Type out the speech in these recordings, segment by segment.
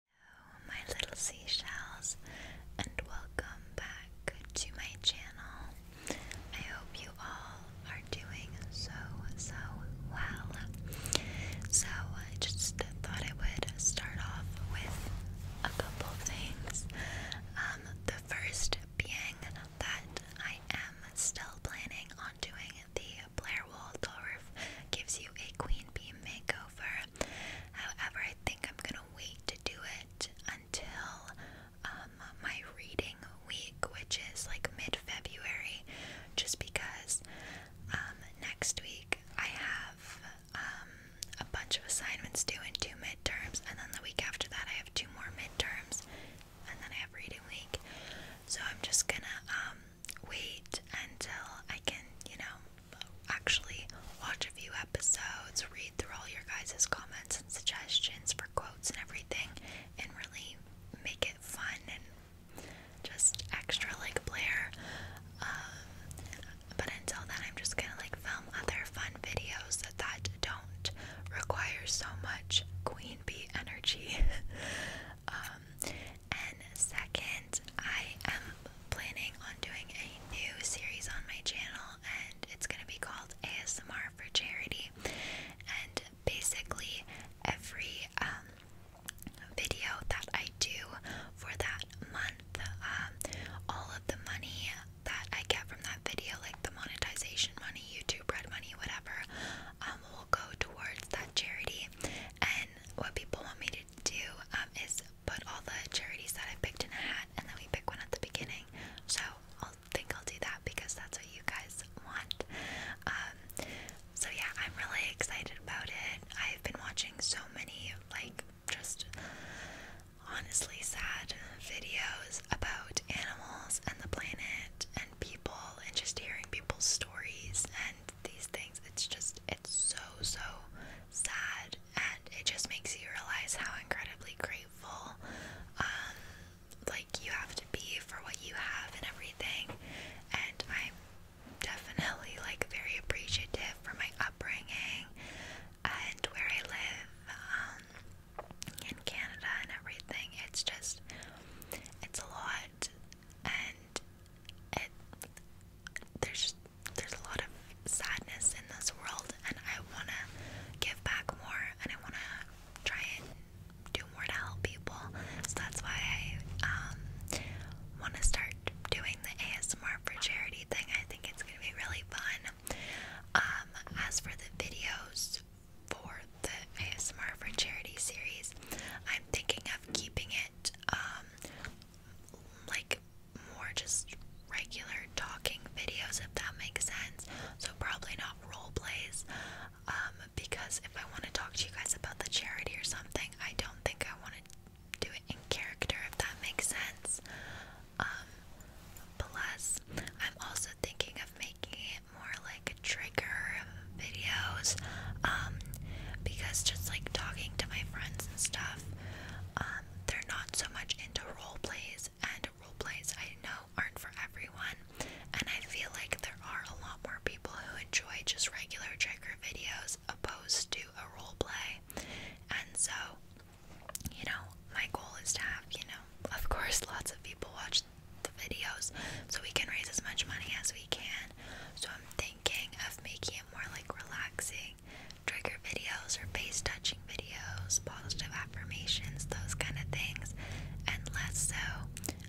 Hello oh, my little seashells and welcome back to my channel. I hope you all are doing so so well. So I just thought I would start off with a couple things. Um, the first being that I am still planning on doing the Blair Waldorf gives you a queen Airbnb makeover. However, I think I'm gonna wait to do it until um, my reading week, which is like mid February, just because um, next week I have um, a bunch of assignments due and two midterms, and then the week after that I have two more midterms, and then I have reading week. So I'm just gonna wait until I can, you know, actually watch a few episodes, read through all your guys' comments and suggestions for quotes and everything, and really make it fun and just extra like Blair. Um, but until then, I'm just gonna like film other fun videos that, don't require so much queen bee energy. Um, and second, I am planning on doing a new series on my channel, and it's going to be called ASMR for Charity. And basically, every um, video that I do for that month, um, all of the money that I get from that video, like the monetization money, YouTube red money, whatever, um, will go towards that charity. And what people want me to do is put all the charities that I picked in a hat and then we pick one at the beginning. So I'll think I'll do that because that's what you guys want. Um, so yeah, I'm really excited about it. I've been watching so many like just honestly sad videos about animals and the planet and people and just hearing people's stories and these things. It's just, it's so, so sad, and it just makes you realize how incredibly grateful, um, like you have to be for what you have and everything. And I'm definitely like very appreciative for my upbringing and where I live, um, in Canada and everything. It's just, it's a lot, and there's there's a lot of sadness in this world, and I wanna give back more, and I wanna try and do more to help people. So that's why I um, wanna start doing the ASMR for charity thing. I think it's gonna be really fun. Um, as for the videos for the ASMR for charity series, I'm thinking of keeping it um, like more just regular talking videos, if that makes sense. So, probably not role plays. Um, because if I want to talk to you guys about the charity or something, I don't think I want to do it in character, if that makes sense. Um, plus, I'm also thinking of making it more like trigger videos. Um, because just like talking to my friends and stuff, um, they're not so much into role plays, and role plays I know aren't for everyone. And I feel like there are a lot more people who enjoy just regular trigger videos opposed to a role play. And so, you know, my goal is to have, you know, of course, lots of people watch the videos so we can raise as much money as we can. So I'm thinking of making it more like relaxing trigger videos or face touching videos, positive affirmations, those kind of things, and less so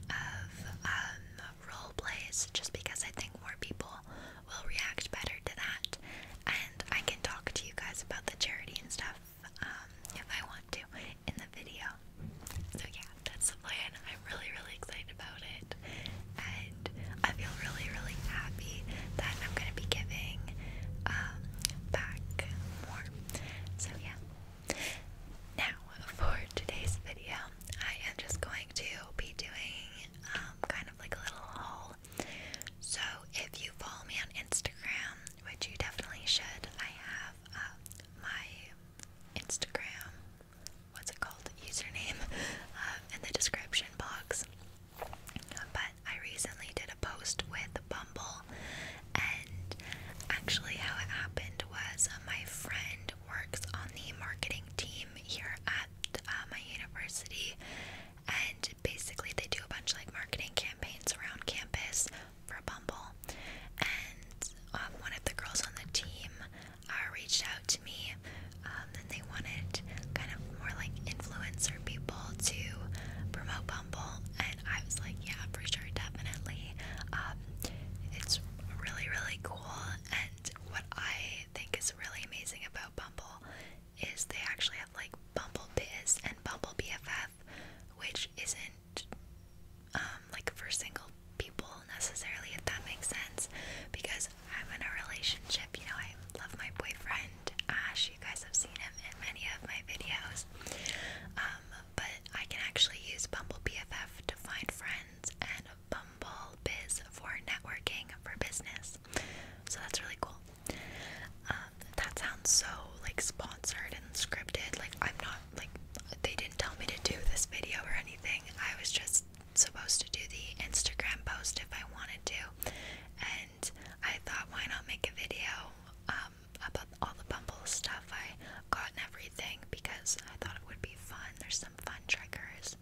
of um, role plays, just because I think more people will react better to that. And I can talk to you guys about the charity and stuff um, if I want to in the video. So, yeah, that's the plan. I'm really, really excited about it. And I feel really, really happy that I'm going to be giving um, back more. So, yeah. Now, for today's video, I am just going to be doing um, kind of like a little haul. So, if you follow me on Instagram, which you definitely should, I have uh, my Instagram what's it called username uh, in the description box. But I recently did a post with Bumble, and actually, how it happened was uh, my friend works on the marketing team here at uh, my university, and basically, they do a bunch of like marketing campaigns around campus for Bumble. And um, one of the girls on the team are uh, reached out to me um, and they wanted kind of more like influencer people to promote Bumble, and I was like, yeah, for sure, definitely. Um, it's really, really cool, and what I think is really amazing about Bumble is they actually have like Bumble Biz and Bumble BFF, which isn't um, like for single people necessarily, if that makes sense, because I'm in a relationship. You know, I love my boyfriend. Ash, you guys have seen him in many of my videos. Um, but I can actually use Bumble BFF to find friends and Bumble Biz for networking for business. So that's really cool. Um, that sounds so like sponsored and scripted. Like I'm not like they didn't tell me to do this video or anything. I was just supposed to do the Instagram post if I wanted to, and I thought, why not make a video um, about all the Bumble stuff I got and everything because I thought it would be fun. There's some fun triggers,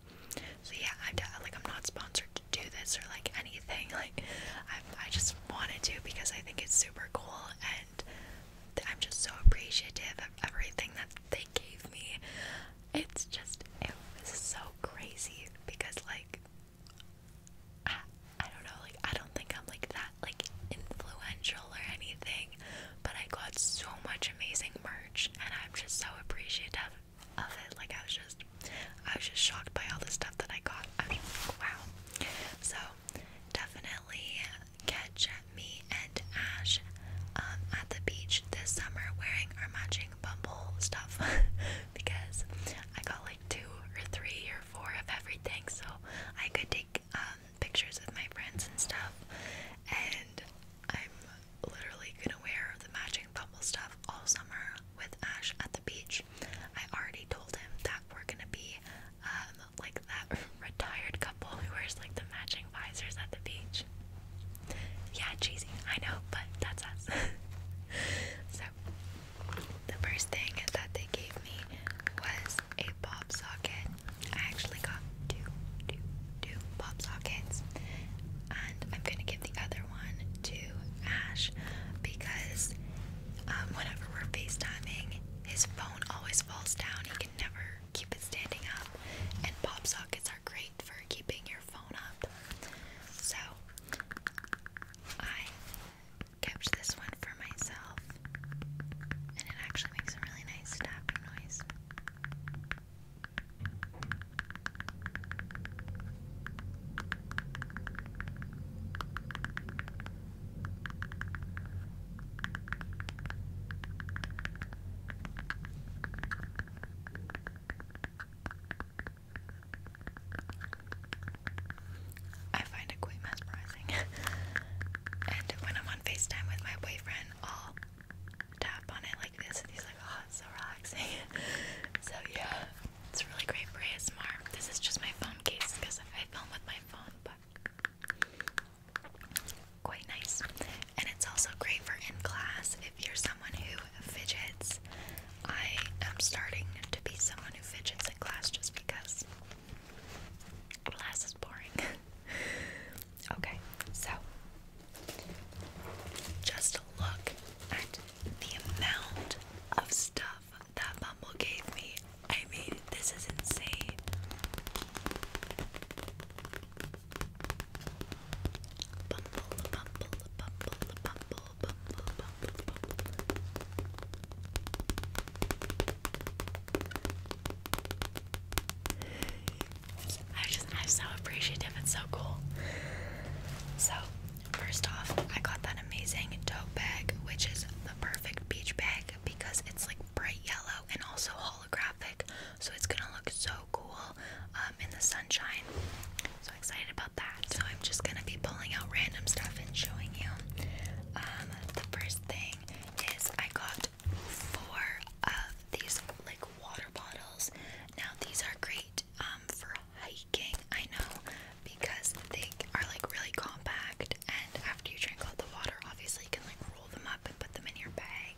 so yeah. I'm like I'm not sponsored to do this or like anything. Like I, I just wanted to because I think it's super cool and. I'm just so appreciative of everything that they gave me. It's just it was so crazy because like I, I don't know, like I don't think I'm like that like influential or anything, but I got so much amazing merch and I'm just so appreciative of it. Like I was just I was just shocked by all the stuff that I got. I was just wow. So definitely catch me and Ash um, at the beach this summer wearing our matching Bumble stuff because I got like two or three or four of everything, so I could take um, pictures with my friends and stuff. And I'm literally gonna wear the matching Bumble stuff all summer with Ash at the beach. I already told him that we're gonna be um, like that retired couple who wears like the matching visors at the beach. Yeah, cheesy, I know, but that's us. so, the first thing that they gave me was a pop socket. I actually got two, two, two pop sockets, and I'm gonna give the other one to Ash because um, whenever we're FaceTiming, his phone always falls down. He can never keep it standing up, and pop sockets are great for keeping your phone up. So I kept this one for myself, and it actually makes a really nice tapping noise. I find it quite mesmerizing. and when I'm on FaceTime with my boyfriend, I'll tap on it like this, and he's like, oh, it's so relaxing. so, yeah, it's really great for ASMR. This is just my phone case because I film with my phone, but quite nice. And it's also great for in class if you're someone who fidgets I am starting to be someone who fidgets in class just because class is boring. okay, so just look at the amount of stuff that Bumble gave me. I mean, this is insane. Bumble, bumble, I just, I'm so appreciative. It's so cool. So, first off, I got that amazing tote bag, which is the perfect beach bag because it's like bright yellow and also holographic. So, it's gonna look so cool um, in the sunshine. So excited about. So I'm just gonna be pulling out random stuff and showing you. Um, the first thing is I got four of these like water bottles. Now these are great um, for hiking, I know, because they are like really compact and after you drink all the water obviously you can like roll them up and put them in your bag.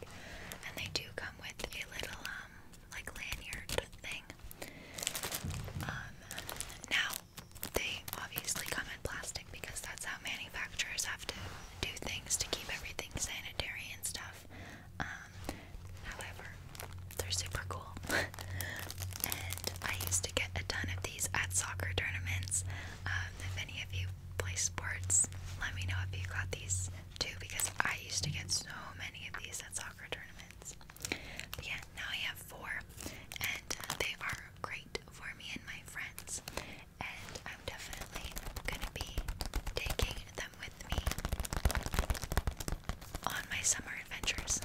And they do come with a little um, like lanyard thing. Um, now they obviously come in plastic because that's how manufacturers have to do things to keep everything sanitary and stuff. Um, however, they're super cool. and I used to get a ton of these at soccer tournaments. Um, if any of you play sports, let me know if you got these too because I used to get so many of these at soccer tournaments yeah, now I have four, and they are great for me and my friends. And I'm definitely gonna be taking them with me on my summer adventures.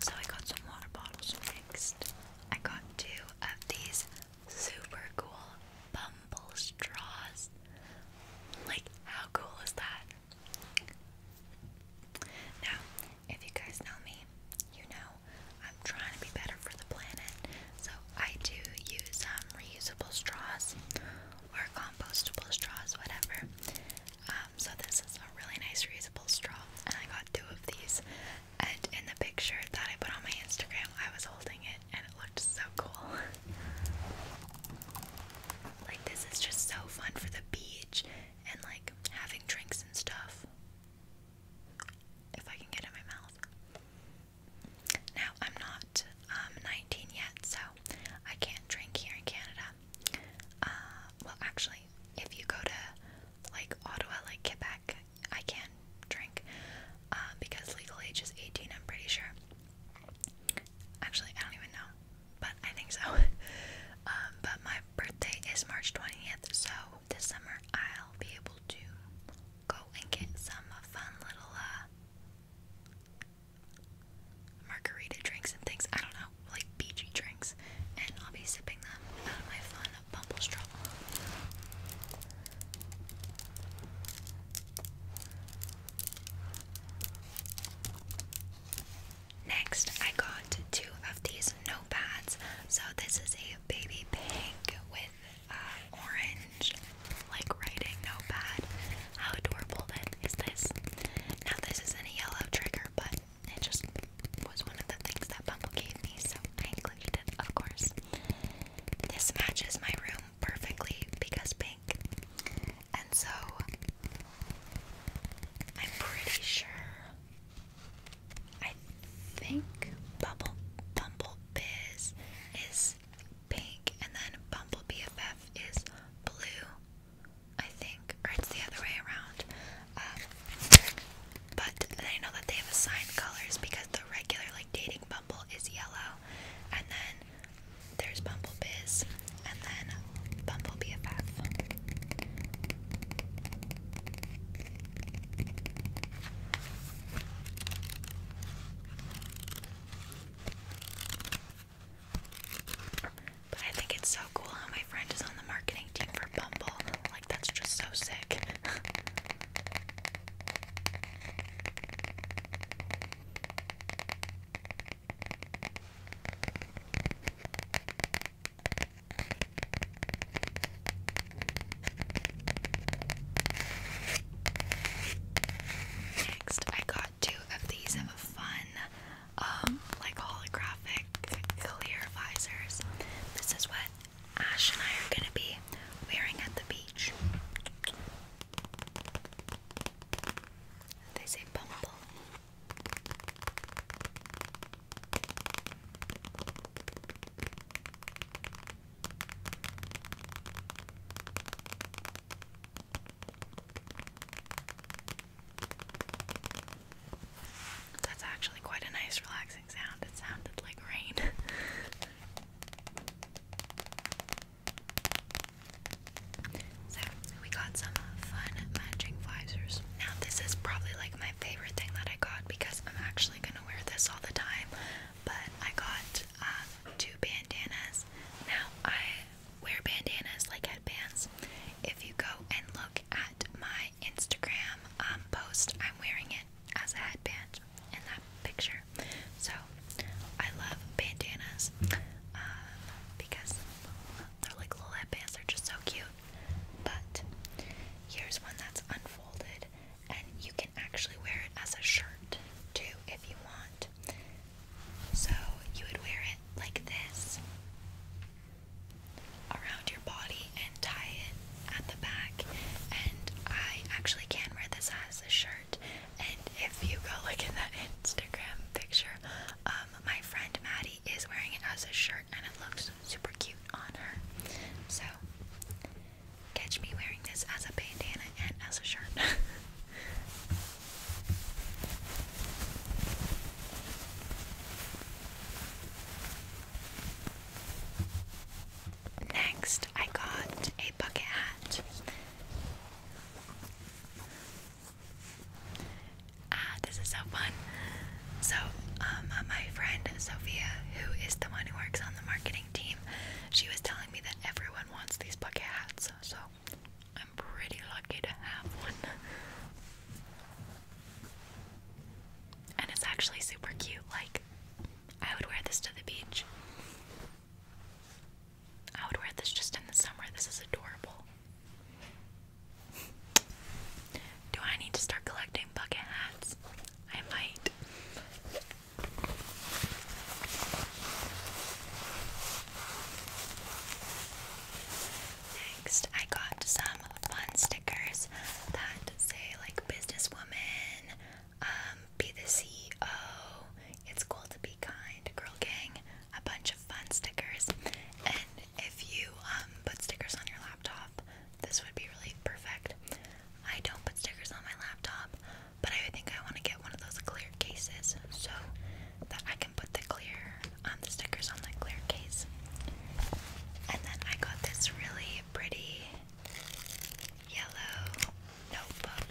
So I got some water bottles next. I got two of these super cool bumble straws. Like, how cool is that? Now, if you guys know me, you know I'm trying to be better for the planet, so I do use um, reusable straws or compostable straws, whatever. Um, so this is a really nice reusable straw, and I got two of these and in the picture that I put on my Instagram, I was holding it and it looked so cool. like, this is just so fun for the beach and like having drinks and stuff. If I can get in my mouth. Now, I'm not um, 19 yet, so I can't drink here in Canada. Uh, well, actually, if you go to like Ottawa, like Quebec, I can drink uh, because legal age is 18, I'm pretty sure. Actually, I don't even know, but I think so. Um, but my birthday is March 20th, so this summer I'll be able to go and get some fun little uh, margarita drinks and things. I don't know, like beachy drinks, and I'll be sipping them out of my fun a bumble Next, I got two of these notepads. So this is a baby pink with uh, orange, like writing notepad. How adorable is this? Now this isn't a yellow trigger, but it just was one of the things that Bumble gave me, so I of course. This matches my room perfectly because pink, and so I'm pretty sure. I think Bumble Bumble Biz is pink, and then Bumble BFF is blue. I think, or it's the other way around. Um, but I know that they have assigned colors because the regular like dating Bumble is yellow, and then there's Bumble Biz, and then Bumble BFF. But I think it's so cool how my friend is on the marketing team for Bumble. Like that's just so sick. Next, I got two of these fun, um, like holographic clear visors. This is what Ash and I are going to be wearing at the beach. They say bumble. That's actually quite a nice, relaxing. It sounded like rain. so we got some fun matching visors. Now this is probably like my favorite thing that I got because I'm actually gonna wear this all the time. But I got um, two bandanas. Now I wear bandanas like headbands. If you go and look at my Instagram um, post, I'm wearing it as a headband in that picture. So I love bandanas uh, because they're like little headbands, they're just so cute. But here's one that's unfolded, and you can actually wear it as a shirt too if you want. So you would wear it like this around your body tie it at the back. And I actually can wear this as a shirt. And if you go look in that Instagram picture, um, my friend Maddie is wearing it as a shirt, and it looks super cute on her. So, catch me wearing this as a bandana and as a shirt. Next, I got a bucket hat ah this is so fun so um uh, my friend sophia who is the one who works on the marketing team she was telling me that everyone wants these bucket hats so i'm pretty lucky to have one and it's actually super cute like I would wear this to the beach. I would wear this just in the summer. This is adorable. Do I need to start collecting bucket hats? I might. Next, I got some fun stickers that say like businesswoman, um, be the CEO, It's Cool to Be Kind, Girl Gang, a bunch of fun stickers. And if you um, put stickers on your laptop, this would be really perfect. I don't put stickers on my laptop, but I think I want to get one of those clear cases so that I can put the clear on um, the stickers on the clear case. And then I got this really pretty yellow notebook.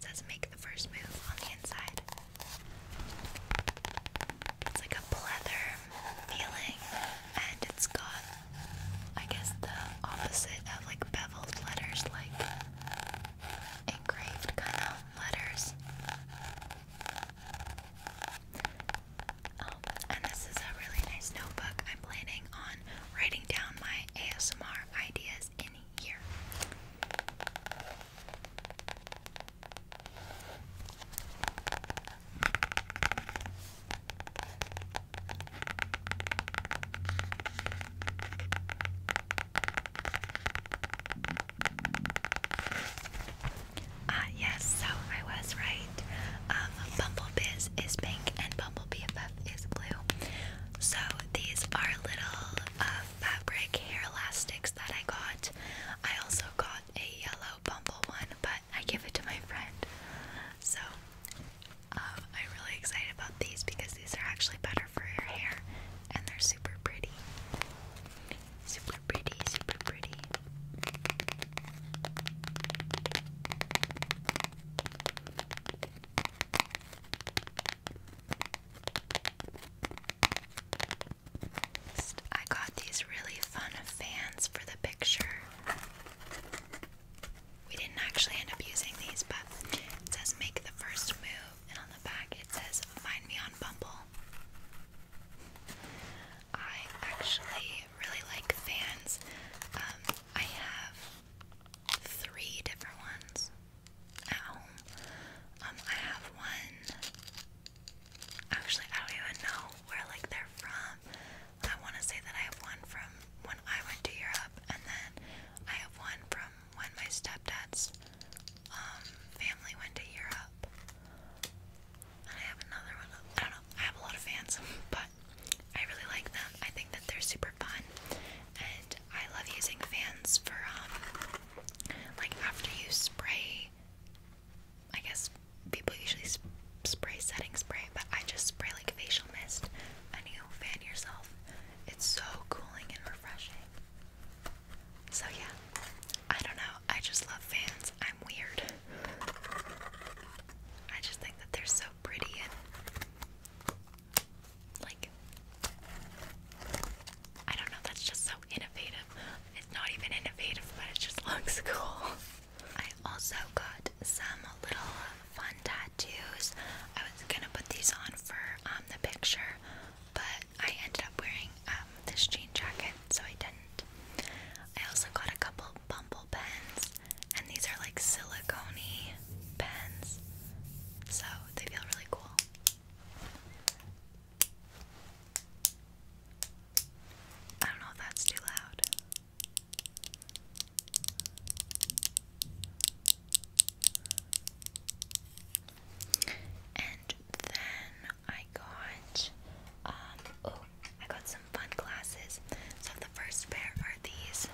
says make the first move on the inside. It's like a pleather feeling, and it's got, I guess, the opposite of like beveled letters, like engraved kind of letters. Um, and this is a really nice notebook. I'm planning on writing down my ASMR ideas in here. Ah, yes, so I was right. Um, Bumble Bumblebiz is pink and BumbleBFF is blue. So these are little uh, fabric hair elastics that I got. I also got a yellow bumble one, but I give it to my friend. So um, I'm really excited about these because these are actually better for your hair and they're super pretty. Super pretty, super pretty. I got these really fun fans for the picture. We didn't actually end up using these, but it says make the first move, and on the back it says find me on Bumble. I actually really like fans. Um, I have three different ones at um, I have one. Actually, I don't even know where like they're from. I want to say that I have one from when I went to Europe, and then I have one from when my stepdad's um, family went to Europe. And I have another one. I don't know. I have a lot of fans, but I really like them. I think that they're super fun, and I love using fans for um, like after you spray. I guess people usually spray setting spray, but I just spray like facial mist, and you fan yourself. It's so cooling and refreshing. So yeah, I don't know. I just love fans. I'm weird. I just think that they're so pretty and like I don't know, that's just so innovative. It's not even innovative, but it just looks cool. I also got some little fun tattoos. I was gonna put these on for um, the picture, but I ended up wearing um, this jean jacket, so I didn't. I also got a couple bumble pens, and these are like silicone pens, so they feel really cool. I don't know if that's too loud. And then I got, um, oh, I got some fun glasses. So the first pair are these.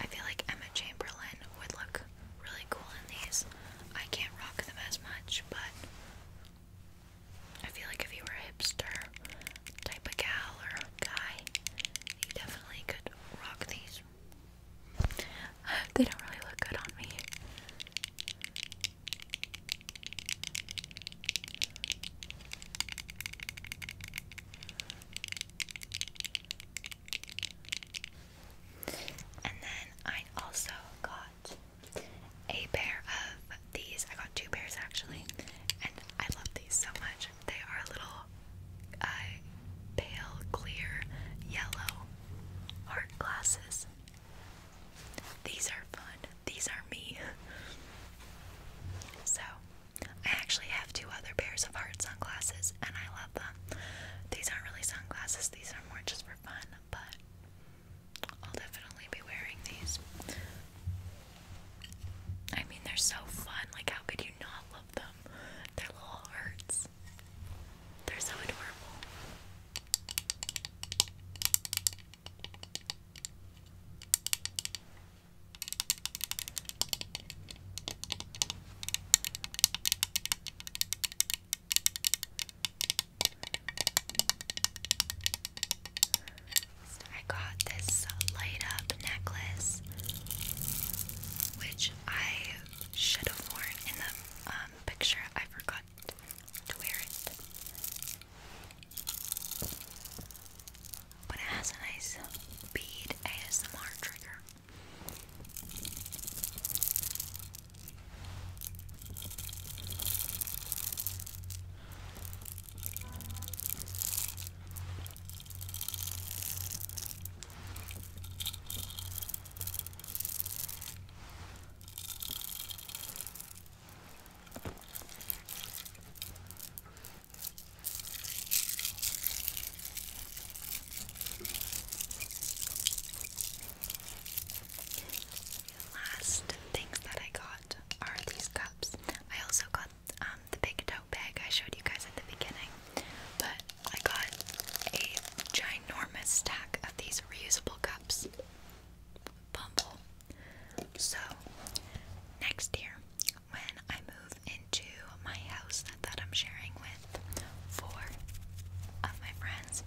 I feel like Emma Chamberlain would look really cool in these. I can't rock them as much, but I feel like if you were hipster type of gal or guy, you definitely could rock these. they don't really look good on me. And then I also got a pair of these. I got two pairs actually, and I love these so much. They are little uh, pale, clear, yellow heart glasses. These are fun these are me. So, I actually have two other pairs of heart sunglasses and I love them. These aren't really sunglasses, these are more just for fun, but I'll definitely be wearing these. I mean, they're so fun. Like, how could you not love them? They're little hearts, they're so adorable. So I got this light up necklace, which I should have worn in the um, picture. I forgot to wear it. But it has a nice bead ASMR trigger last things that I got are these cups. I also got um, the big tote bag I showed you guys at the beginning, but I got a ginormous stack of these reusable cups. Bumble so, next year, when I move into my house that, I'm sharing with four of my friends,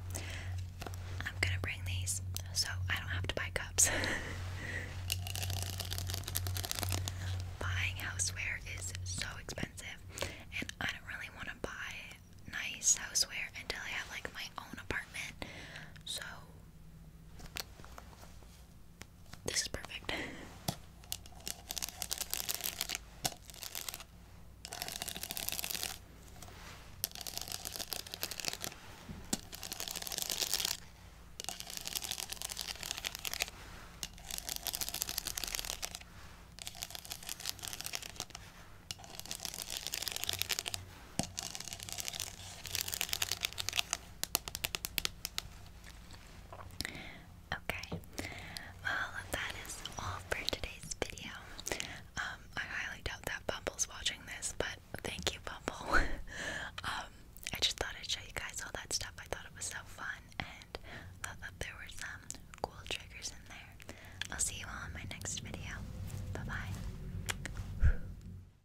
I'm gonna bring these so I don't have to buy cups. Buying houseware is so expensive, and I don't really want to buy nice houseware until I have like my own apartment. So this is perfect. Okay, well, that is all for today's video. Um, I highly doubt that Bumble's watching this, but thank you, Bumble. Um, I just thought I'd show you guys all that stuff. I thought it was so fun, and thought that there were some cool triggers in there. I'll see you all in my next video. Bye bye.